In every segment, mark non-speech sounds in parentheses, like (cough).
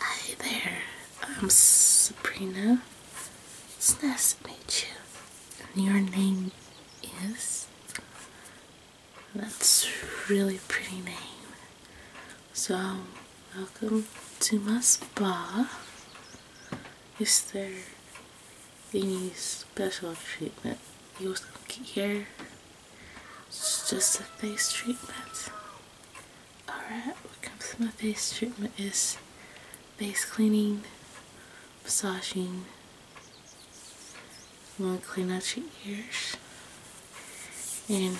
Hi there, I'm Sabrina. It's nice to meet you. And your name is? That's a really pretty name. So, welcome to my spa. Is there any special treatment you was here it's just a face treatment. Alright, what comes in my face treatment is face cleaning, massaging. I'm going to clean out your ears. And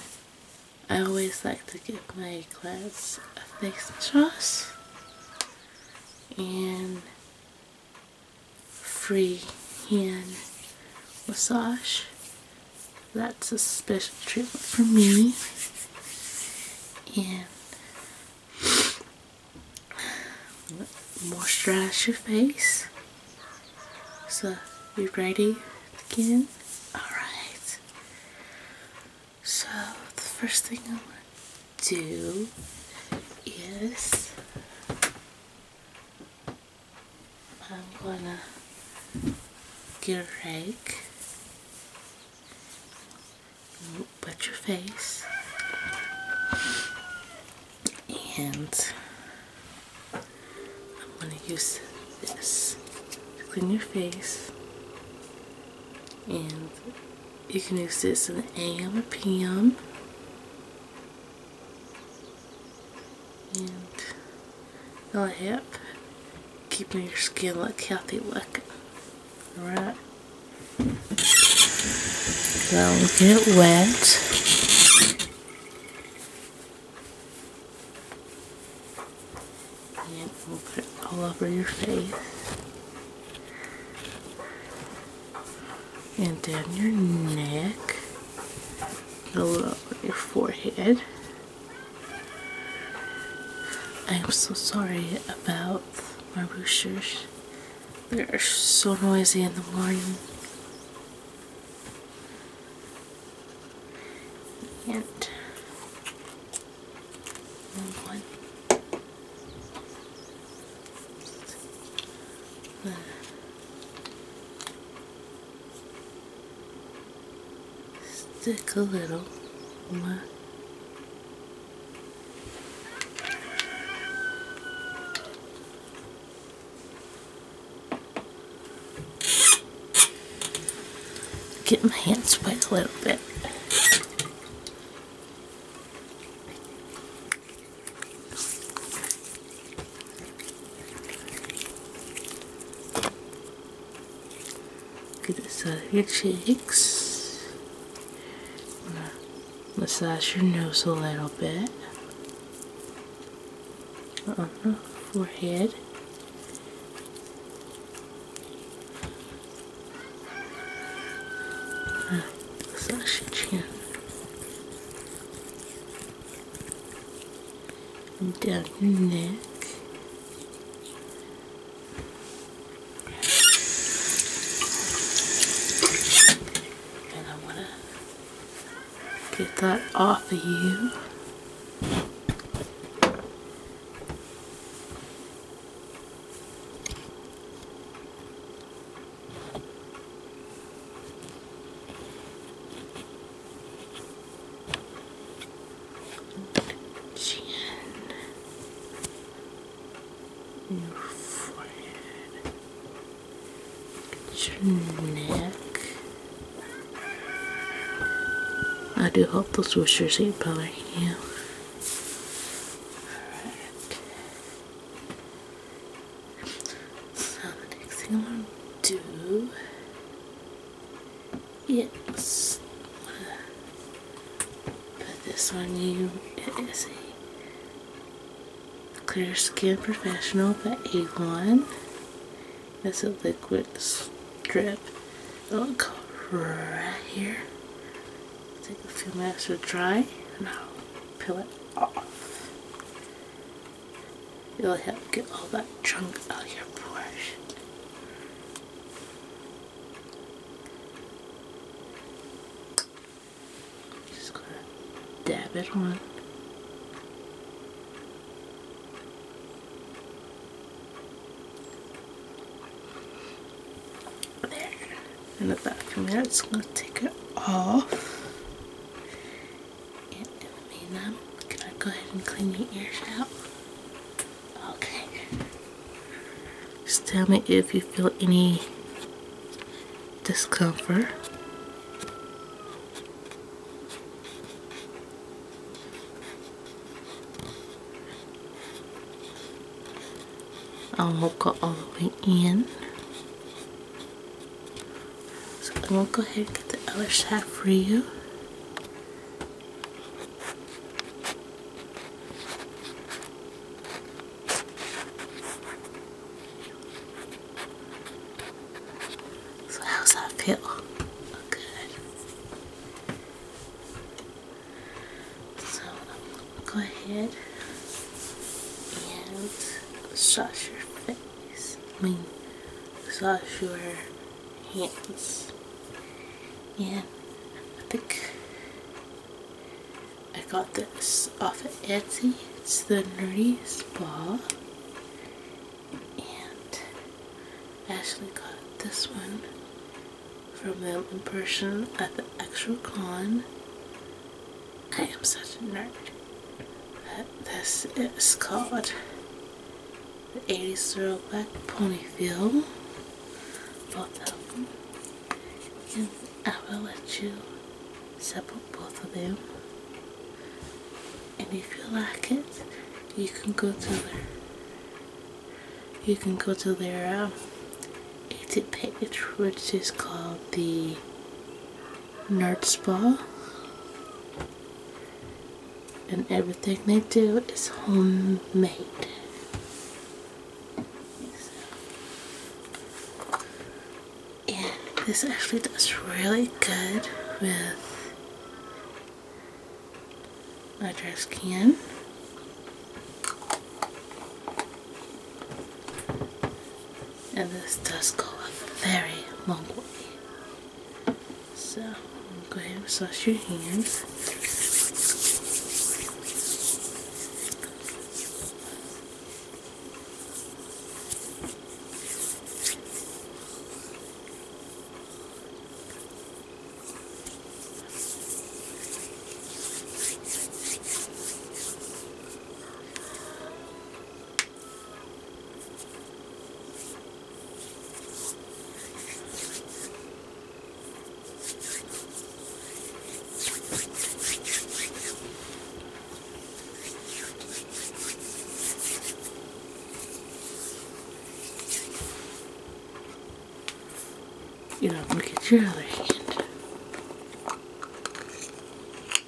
I always like to give my clients a face massage and free hand massage that's a special treatment for me. And moisturize your face. So you ready again? Alright. So the first thing I want to do is I'm gonna get a rake, but your face, and I'm gonna use this to clean your face, and you can use this in the AM or PM and it'll help keeping your skin like healthy looking. Alright. So get it wet. And we'll put it all over your face and down your neck, below your forehead. I'm so sorry about my roosters. They're so noisy in the morning. And one. Uh. Stick a little more. Get my hands wet a little bit. These out of your cheeks. I'm massage your nose a little bit. On uh-huh, the forehead. Uh, massage your chin and down your neck. And I want to get that off of you. Chin. Your forehead. Your neck. I do hope those were sure seat bothering you. Alright. So the next thing I'm to do is put this on you. It is a clear skin professional but A1. It's a liquid strip. It'll go right here. Take a few minutes to dry and I'll peel it off. It'll help get all that junk out of your brush. Just gonna dab it on. There. And about a few minutes, I'm gonna take it off. Can I go ahead and clean your ears out? Okay. Just tell me if you feel any discomfort. I will go all the way in. So I'm gonna go ahead and get the other side for you. So how's that feel? Good. So go ahead and massage your face. I mean, massage your hands. Yeah, I think I got this off of Etsy. It's the Nerdy Spa. And I actually got this one from them in person at the Extra Con. I am such a nerd. This is called the 80s throwback ponytail. Both of them. And I will let you separate both of them. And if you like it, you can go to their you can go to their uh, um, exit page which is called the nerd spa and everything they do is homemade so. this actually does really good with my trash can and this does go a very long way. So go ahead and wash your hands. You don't look at your other hand.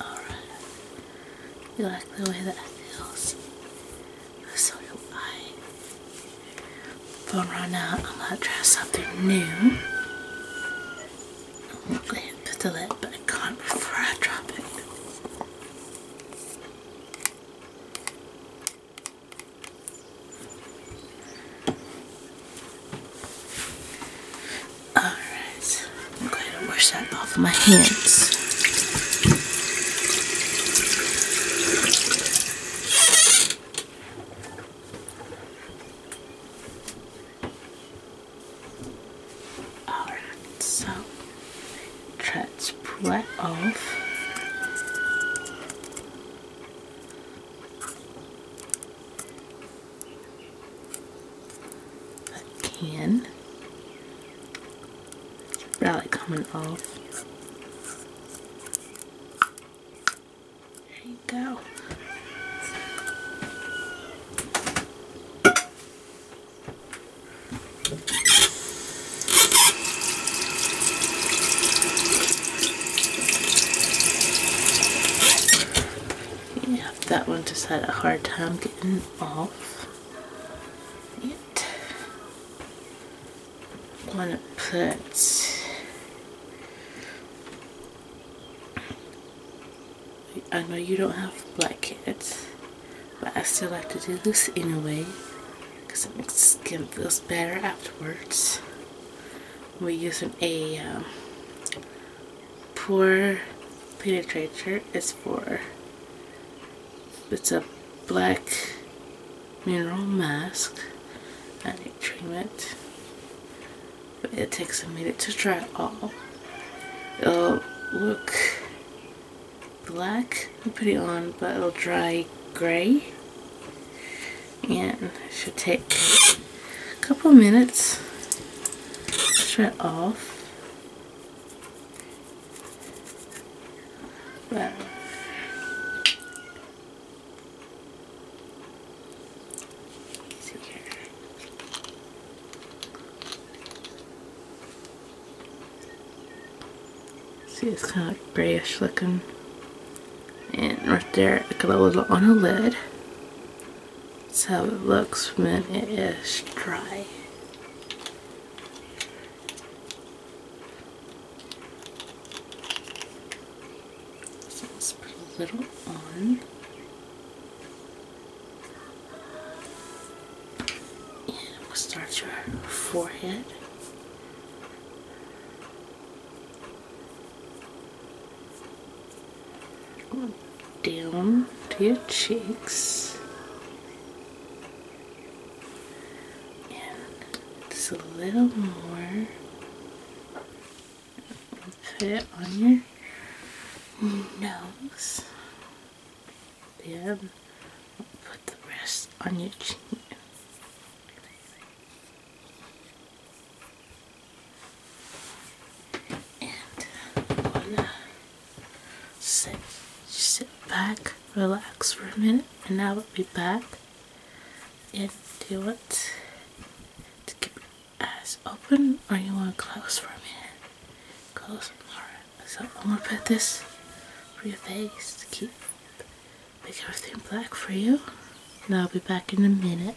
Alright. You like the way that feels? So do I. But right now, I'm going to dress up something new. I'm going to put the lid, but I can't before I drop it. Alright, I'm going to wash that off my hands. Alright, so let's pull it off a can. Probably coming off. There you go. Yeah, that one just had a hard time getting off Want to put I know you don't have black but I still have to do this anyway because it makes skin feels better afterwards. We're using a um, Poor Penetrate shirt is for, it's a black mineral mask and a treatment. But it takes a minute to dry all. It'll look black and put it on, but it'll dry gray. And it should take a couple minutes. Shut off. Wow. See, it's kind of grayish looking. And right there, it glows on a lid. That's how it looks when it is dry. So let's put a little on. And start your forehead down to your cheeks just a little more put it on your nose then put the rest on your chin and wanna uh, sit, back, relax for a minute, and I will be back and do it to keep your eyes open or you wanna close for a minute. Close alright. So I'm gonna put this for your face to keep make everything black for you. And I'll be back in a minute.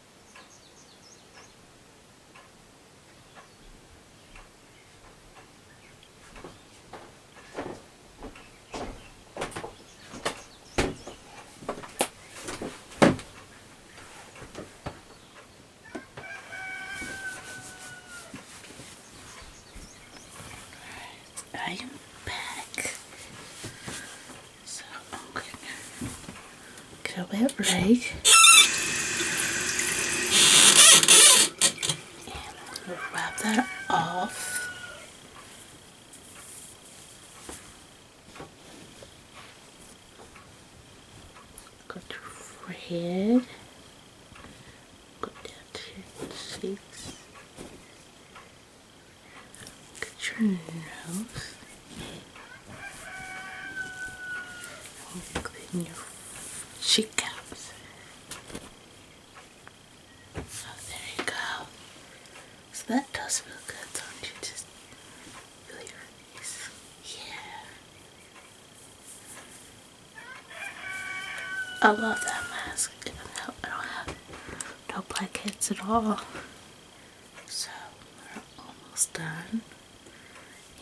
I am back. So I'm gonna Get a wet rag. And wrap that off. Go to forehead. Go down to cheeks. Get your nose. Including your cheekbones. Oh, there you go. So that does feel good, don't you? Just feel your face. Yeah. I love that mask. I don't, have no blackheads at all. So we're almost done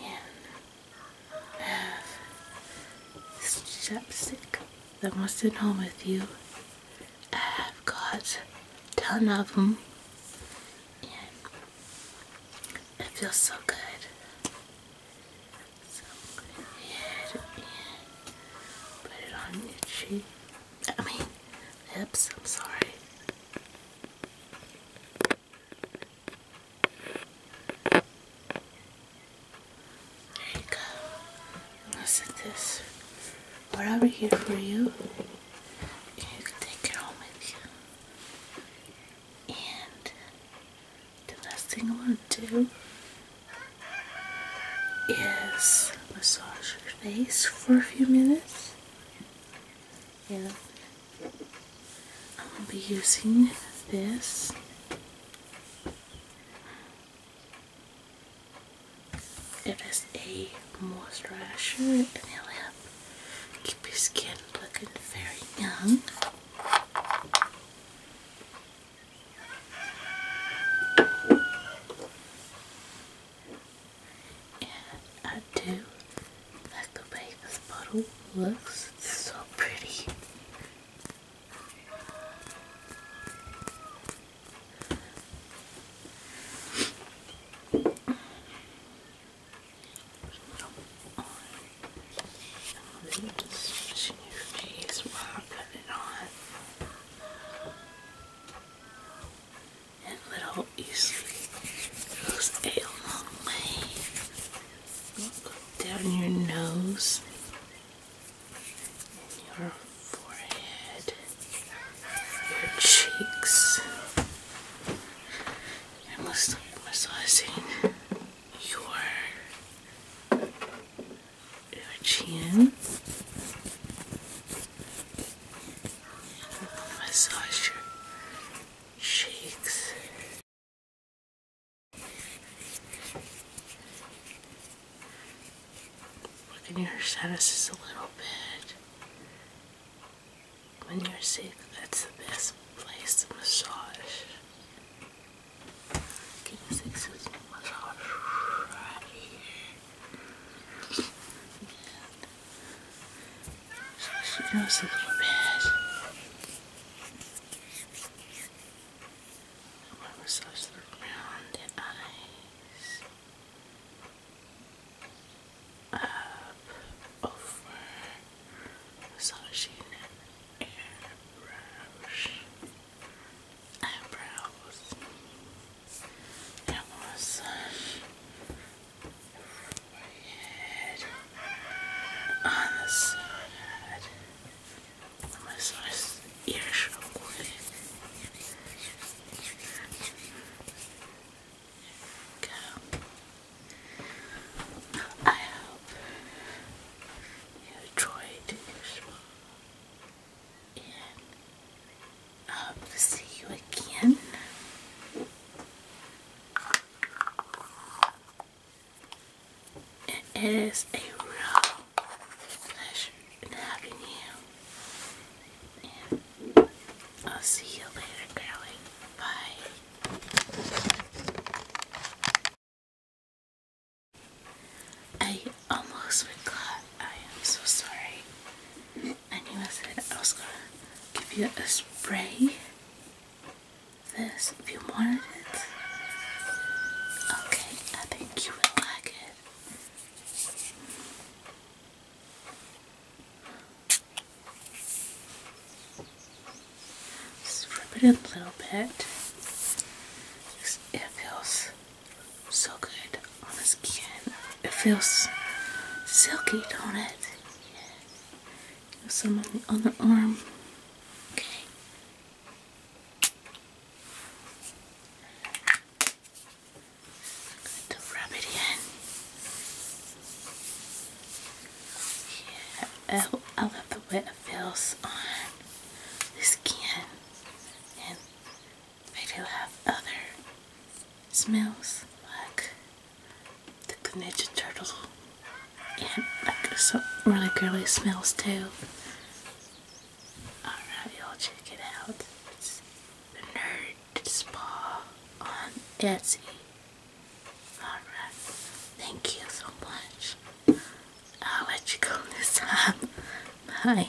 and have this chapstick that wants to home with you. I have got ton of them, and it feels so good. So put put it on your I mean, lips. I'm sorry. There you go. Now set this wherever here for you. you can take it home with you. And the last thing I want to do is massage your face for a few minutes. Yeah, I'm going to be using this it is a moisturizer and it'll help keep your skin looking very young and I do like the way this bottle looks. so pretty. On. I'm really just switching your it on and little easily goes a long way. down your nose your forehead, your cheeks. And let's massaging your, your chin. Massage your shakes. We can hear just a little bit. When you're sick, that's the best place to massage. Get a six massage right here. She knows a little bit. massage the around eyes. Up, over, massaging airbrush, eyebrows, and on the side, massage the ear shoulder. I hope you enjoyed this one. And up. See you again. It is a real pleasure having you. I'll see you later, girlie. Bye. I almost forgot. I am so sorry. I knew I said I was gonna give you a spray this if you wanted it. Okay, I think you will like it. Just rub it in a little bit. It feels so good on the skin. It feels silky, don't it? some on the other arm. Okay. to rub it in. Yeah, I love the way it feels on the skin. And I do have other smells like the Ninja Turtles and like some really girly smells too. Alright, y'all check it out. It's the Nerd Spa on Etsy. Alright, thank you so much. I'll let you go (laughs) this time. Bye.